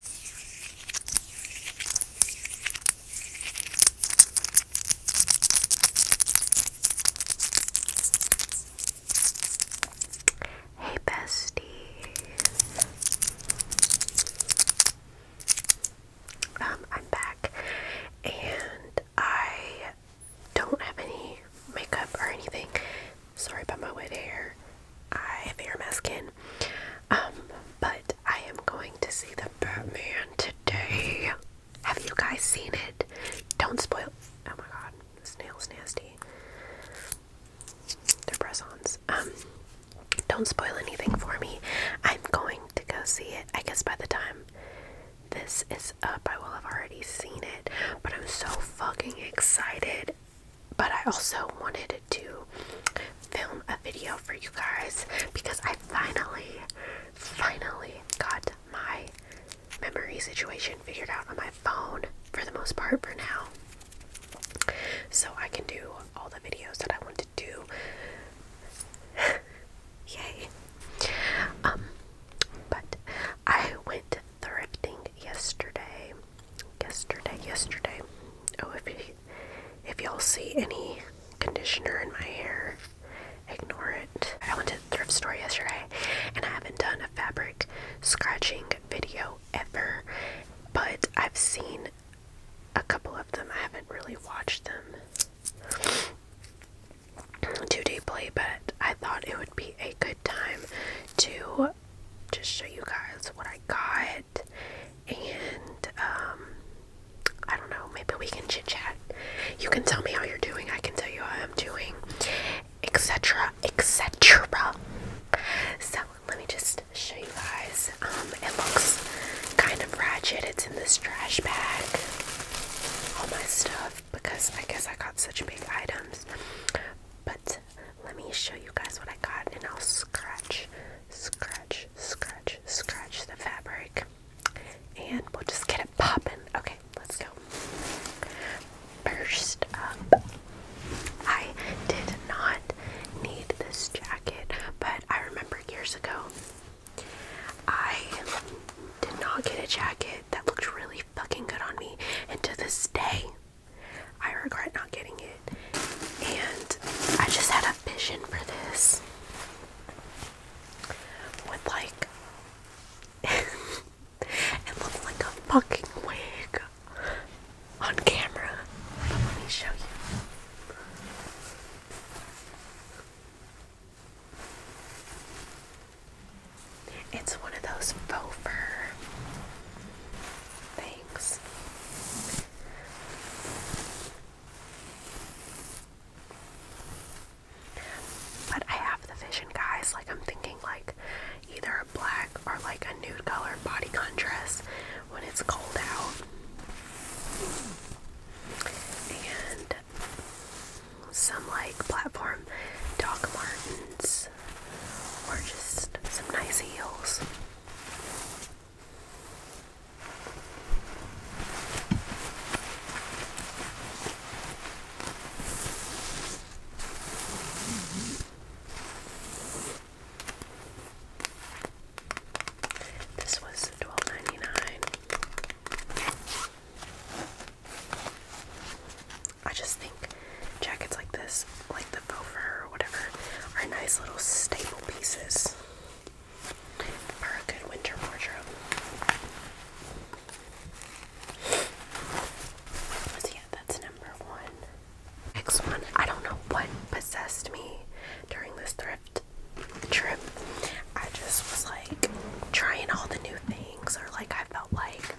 Hey, bestie. Um, I'm back, and I don't have any makeup or anything. Sorry about my wet hair. I fear my skin. Um, but I am going to see the Batman today. Have you guys seen it? Don't spoil. Oh my god, this nail's nasty. They're press ons. Um, don't spoil anything for me. I'm going to go see it. I guess by the time this is up, I will have already seen it. But I'm so fucking excited but I also wanted to film a video for you guys because I finally, finally got my memory situation figured out on my phone for the most part for now. So I can do all the videos that I want to do. Yay. Um, but I went thrifting yesterday yesterday, yesterday. Oh, if you, if y'all see any conditioner in my hair, ignore it. I went to the thrift store yesterday, and I haven't done a fabric scratching video ever, but I've seen a couple of them. I haven't really watched them too deeply, but I thought it would be a good time to just show you guys what I got and um, I don't know, maybe we can chit chat. You can tell me how you're doing, I can tell you how I'm doing, etc. etc. So let me just show you guys. Um, it looks kind of ratchet. It's in this trash bag. All my stuff because I guess I got such big items. But let me show you guys what I got, and I'll scratch, scratch, scratch, scratch the fabric, and we'll just get it popping. Okay, let's go. First up, I did not need this jacket, but I remember years ago I did not get a jacket that looked really fucking good on me, and to this day, I regret not getting it. And I just had a vision for this. With like it looks like a fucking wig on camera. let me show you. It's one of those faux fur Thanks. But I have the vision, guys. Like, I'm thinking, like, either a black or like a nude color bodycon dress when it's cold out. And some like platform Doc Martens or just some nice heels. This was twelve ninety nine. I just think jackets like this, like the faux fur or whatever, are nice little staple pieces for a good winter wardrobe. yeah, that's number one. Next one, I don't know what possessed me during this thrift trip. I just was like trying all the new things, or like I felt like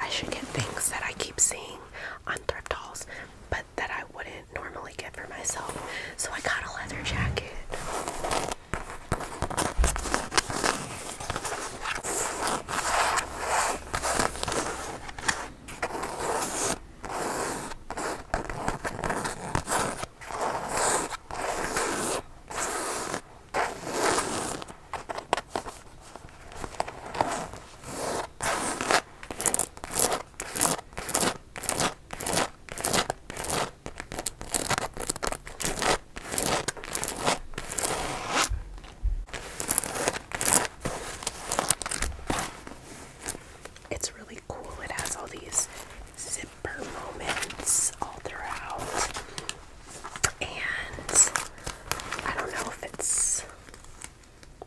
I should get things that I keep seeing on thrift halls but that I wouldn't normally get for myself. So I got a leather jacket. It's really cool. It has all these zipper moments all throughout. And I don't know if it's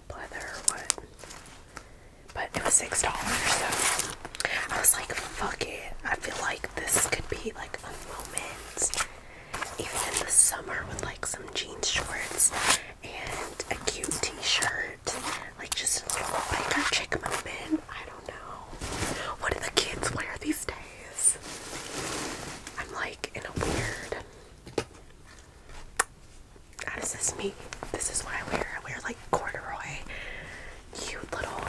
leather or what. But it was six dollars, so I was like, fuck it. I feel like this could be like a moment. Even in the summer with like some jeans shorts and a cute t-shirt. Like just a little like chick moment. I don't know. What do the kids wear these days? I'm like in a weird how ah, does this meet? This is why I wear. I wear like corduroy, cute little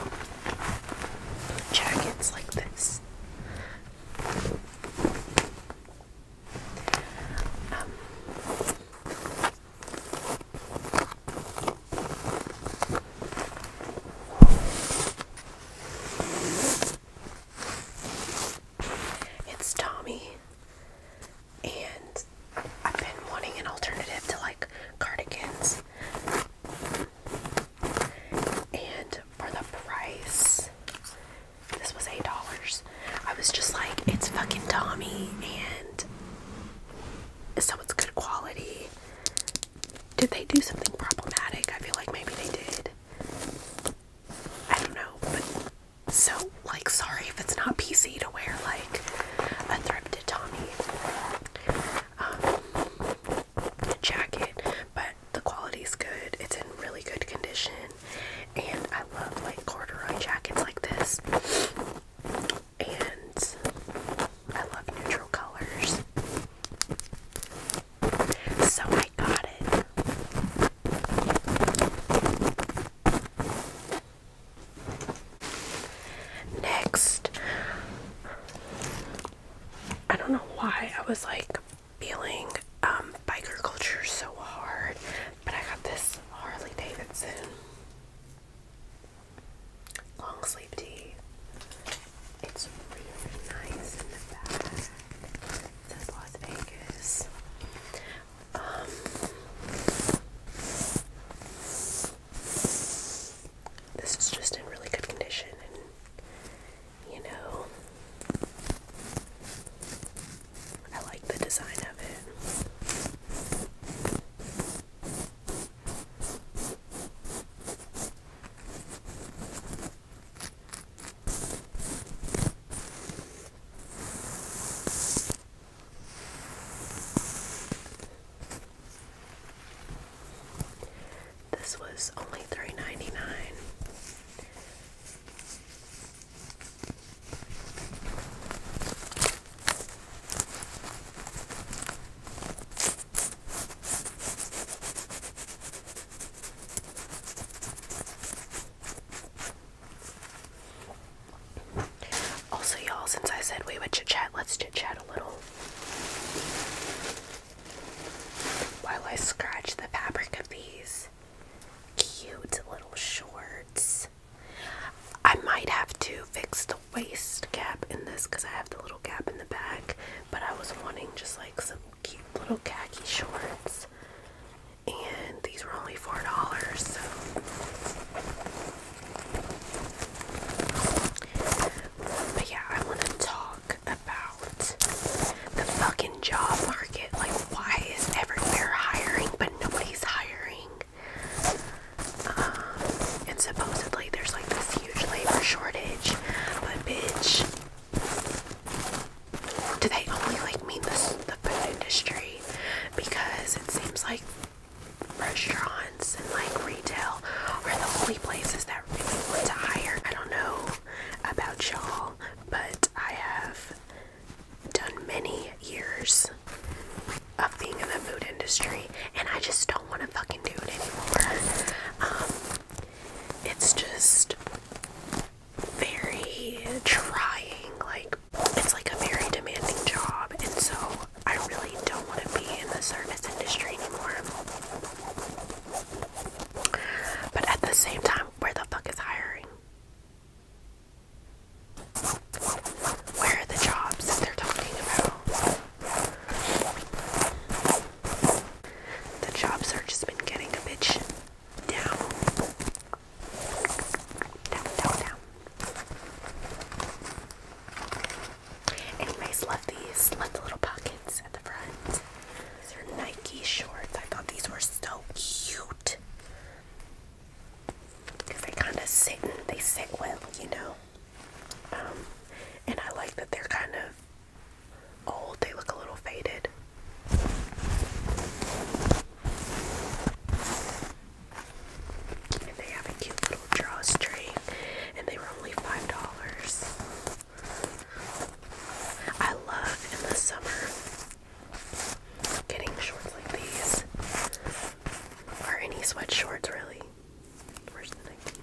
jackets like this. Um, it's Tommy, and I've been wanting an alternative to like cardigans. And for the price, this was $8. I was just like, it's fucking Tommy, and so it's good quality. Did they do something problematic? I feel like maybe they did. I don't know, but so like sorry if it's not PC to wear like a thrifted Tommy um, jacket, but the quality's good. It's in really good condition, and I love like corduroy jackets like this. And I love neutral colors. So I got it. Next, I don't know why I was like feeling um, biker culture so hard, but I got this Harley Davidson long sleep tee. It's really nice in the back. Um, this is just in really good condition, and you know, I like the design of it. This was only three ninety nine. Also, y'all, since I said we would chit chat, let's chit chat a little while I scratch the fabric of these cute little shorts. I might have to fix the waist gap in this because I have the little gap in the back, but I was wanting just like some cute little khaki shorts. And these were only four dollars, but yeah, I wanna talk about the fucking job market. Like why is everywhere hiring but nobody's hiring? Um, and supposedly there's like this huge labor shortage, but bitch do they only like mean the, the food industry? Because it seems like restaurants and like retail are the only places that really want to hire. I don't know about y'all, but I have done many years of being in the food industry and I just don't want to fucking do it anymore. Um, it's just very trying, like it's like a very demanding job, and so I really don't want to be in the service industry anymore. But at the same time, where the fuck is hiring? Where are the jobs that they're talking about? The jobs are just been getting a bitch down, down, down, down. Anyways, love these. Love the little pockets at the front. These are Nike shorts. I thought these were so cute they kind of sit. And they sit well, you know. Um, and I like that they're kind of old, they look a little faded. And they have a cute little drawstring, and they were only five dollars. I love in the summer getting shorts like these, or any sweat shorts really.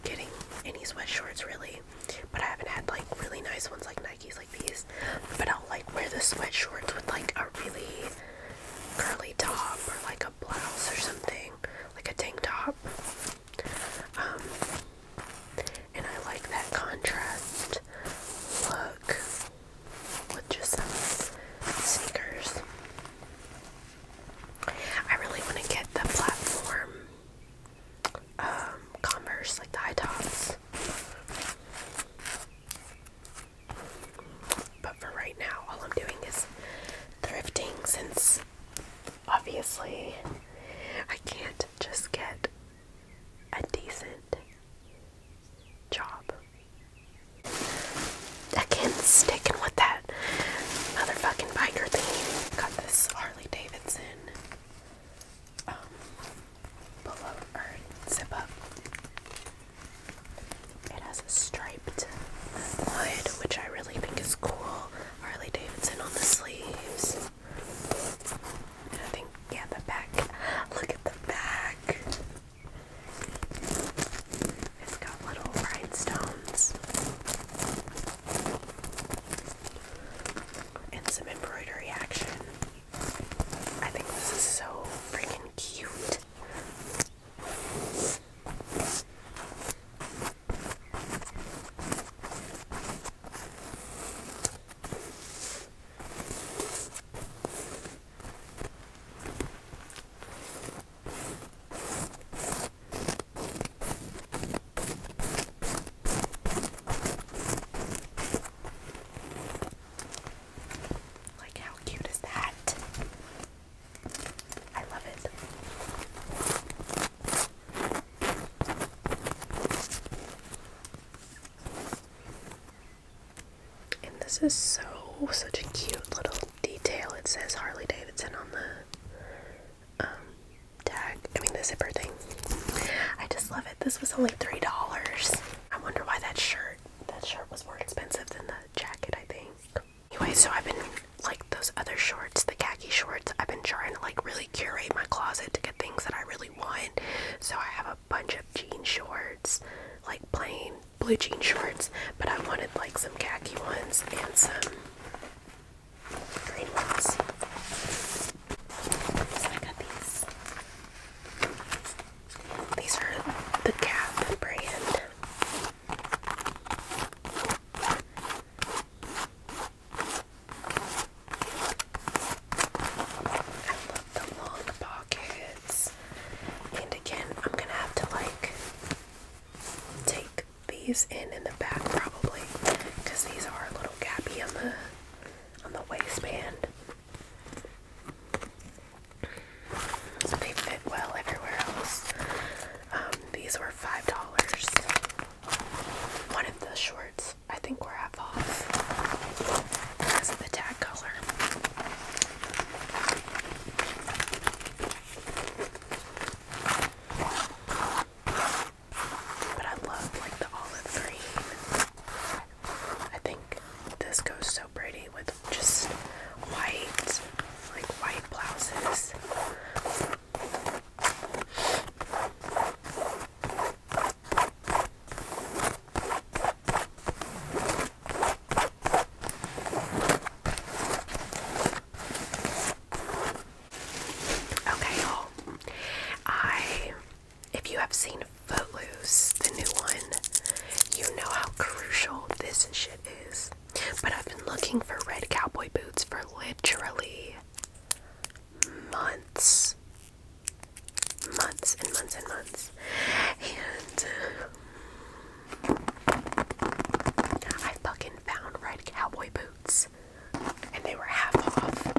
Getting any sweat shorts really but I haven't had like really nice ones like Nikes like these. But I'll like wear the sweatshorts with like a really curly top or like a blouse or something, like a tank top. Um, and I like that contrast look with just some sneakers. I really want to get the platform um, Converse, like the high tops. But for right now, all I'm doing is thrifting since obviously I can't just get a decent job. can Again, sticking with that motherfucking biker theme. Got this Harley Davidson um, pull up It has a striped wood, which I really think is cool. Harley Davidson on the sleeves. And I think, yeah, the back. Look at the back. It's got little rhinestones and some embroidery action. I think this is so freaking cute. Like, how cute is that? I love it. And this is so, such a cute little detail. It says Harley Davidson on the um, tag. I mean the zipper thing. I just love it. This was only three dollars. I wonder why that shirt. That shirt was more expensive than the jacket. I think. Anyway, so I've been like those other shorts, the khaki shorts. I've been trying to like really curate my closet to get things that I really want. So I have a bunch of jean shorts, like plain blue jean shorts, but I wanted like some khaki ones and some Green ones. these. are the Gap brand. I love the long pockets. And again, I'm gonna have to like take these in in the back probably because these are a little little on the on the waistband. So they fit well everywhere else. Um, these were five dollars. One of the shorts I think were half off because of the tag color. But I love like the olive green. I think this goes so pretty with just white, like white blouses. Okay, y'all. I, if you have seen Footloose, the new one, you know how crucial this shit is. But I've been looking for red cowboy boots for literally months. Months and months and months. And uh, I fucking found red cowboy boots and they were half off.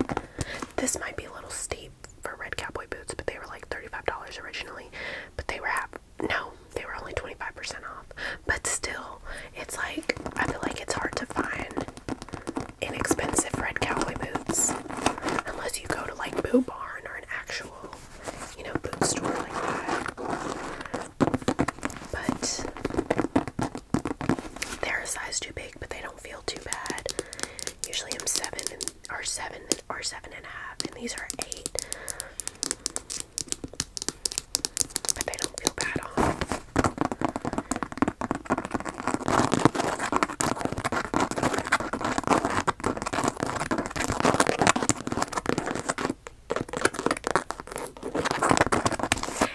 This might be a little steep for red cowboy boots, but they were like $35 originally, but they were half. No, they were only 25% off. But still, it's like I feel like it's hard to find inexpensive red cowboy boots unless you go to like Boot Barn or an actual, you know, boot store like that. But they're a size too big, but they don't feel too bad. Usually I'm seven and or seven or seven and a half, and these are eight. But they don't feel bad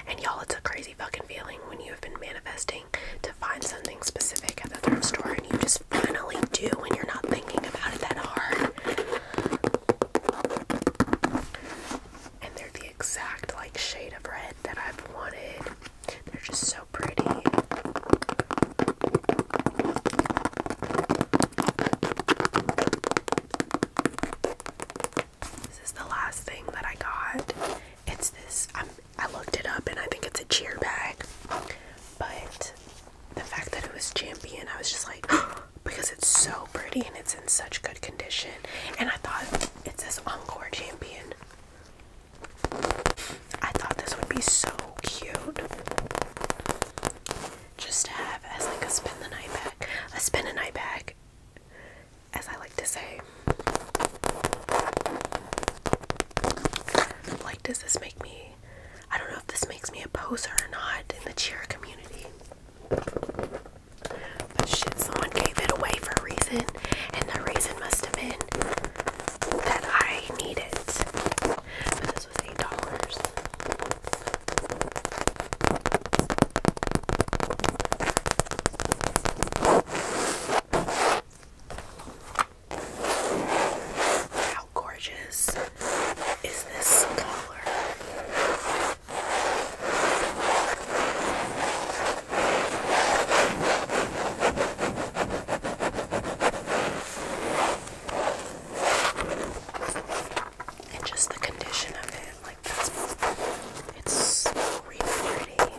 And y'all, it's a crazy fucking feeling when you have been manifesting to find something specific at the thrift store and you just finally do when you're not thinking about it that hard. And they're the exact like shade of red that I've wanted. They're just so pretty. This is the last thing that I got. It's this. i I looked it up and I think it's a cheer bag. But the fact that it was champion, I was just like, because it's so pretty and it's in such good condition. And I thought it says Encore Champion. I thought this would be so cute. Just to have as like a spin the night bag. A spin a night bag as I like to say. Like, does this make me? I don't know if this makes me a poser or not in the cheer community. But shit, someone gave it away for a reason, and the reason must have been that I need it. But this was $8. How gorgeous is this color? and just the condition of it, like that's it's so really pretty.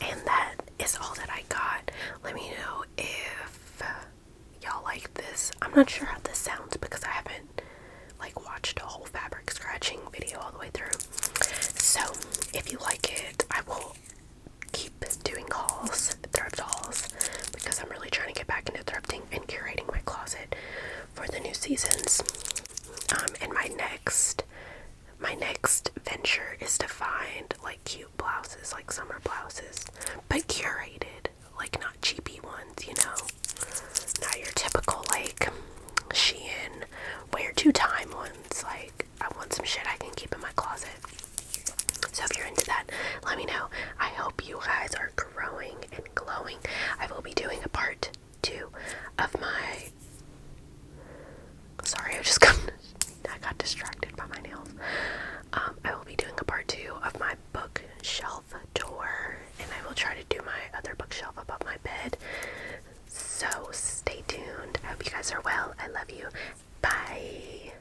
And that is all that I got. Let me know if y'all like this. I'm not sure how this sounds because I haven't like watched a whole fabric scratching video all the way through. So if you like it, I will keep doing hauls, thrift hauls, because I'm really trying to get back into thrifting and curating my closet for the new seasons. Um, and my next, my next venture is to find like cute blouses, like summer blouses, but curated, like not cheapy ones, you know, not your typical like Shein wear two time ones. Like I want some shit I can keep in my closet. So if you're into that, let me know. I hope you guys are growing and glowing. I will be doing a part two of my. Sorry, I just got distracted by my nails. Um, I will be doing a part two of my bookshelf tour, and I will try to do my other bookshelf above my bed. So stay tuned. I hope you guys are well. I love you. Bye.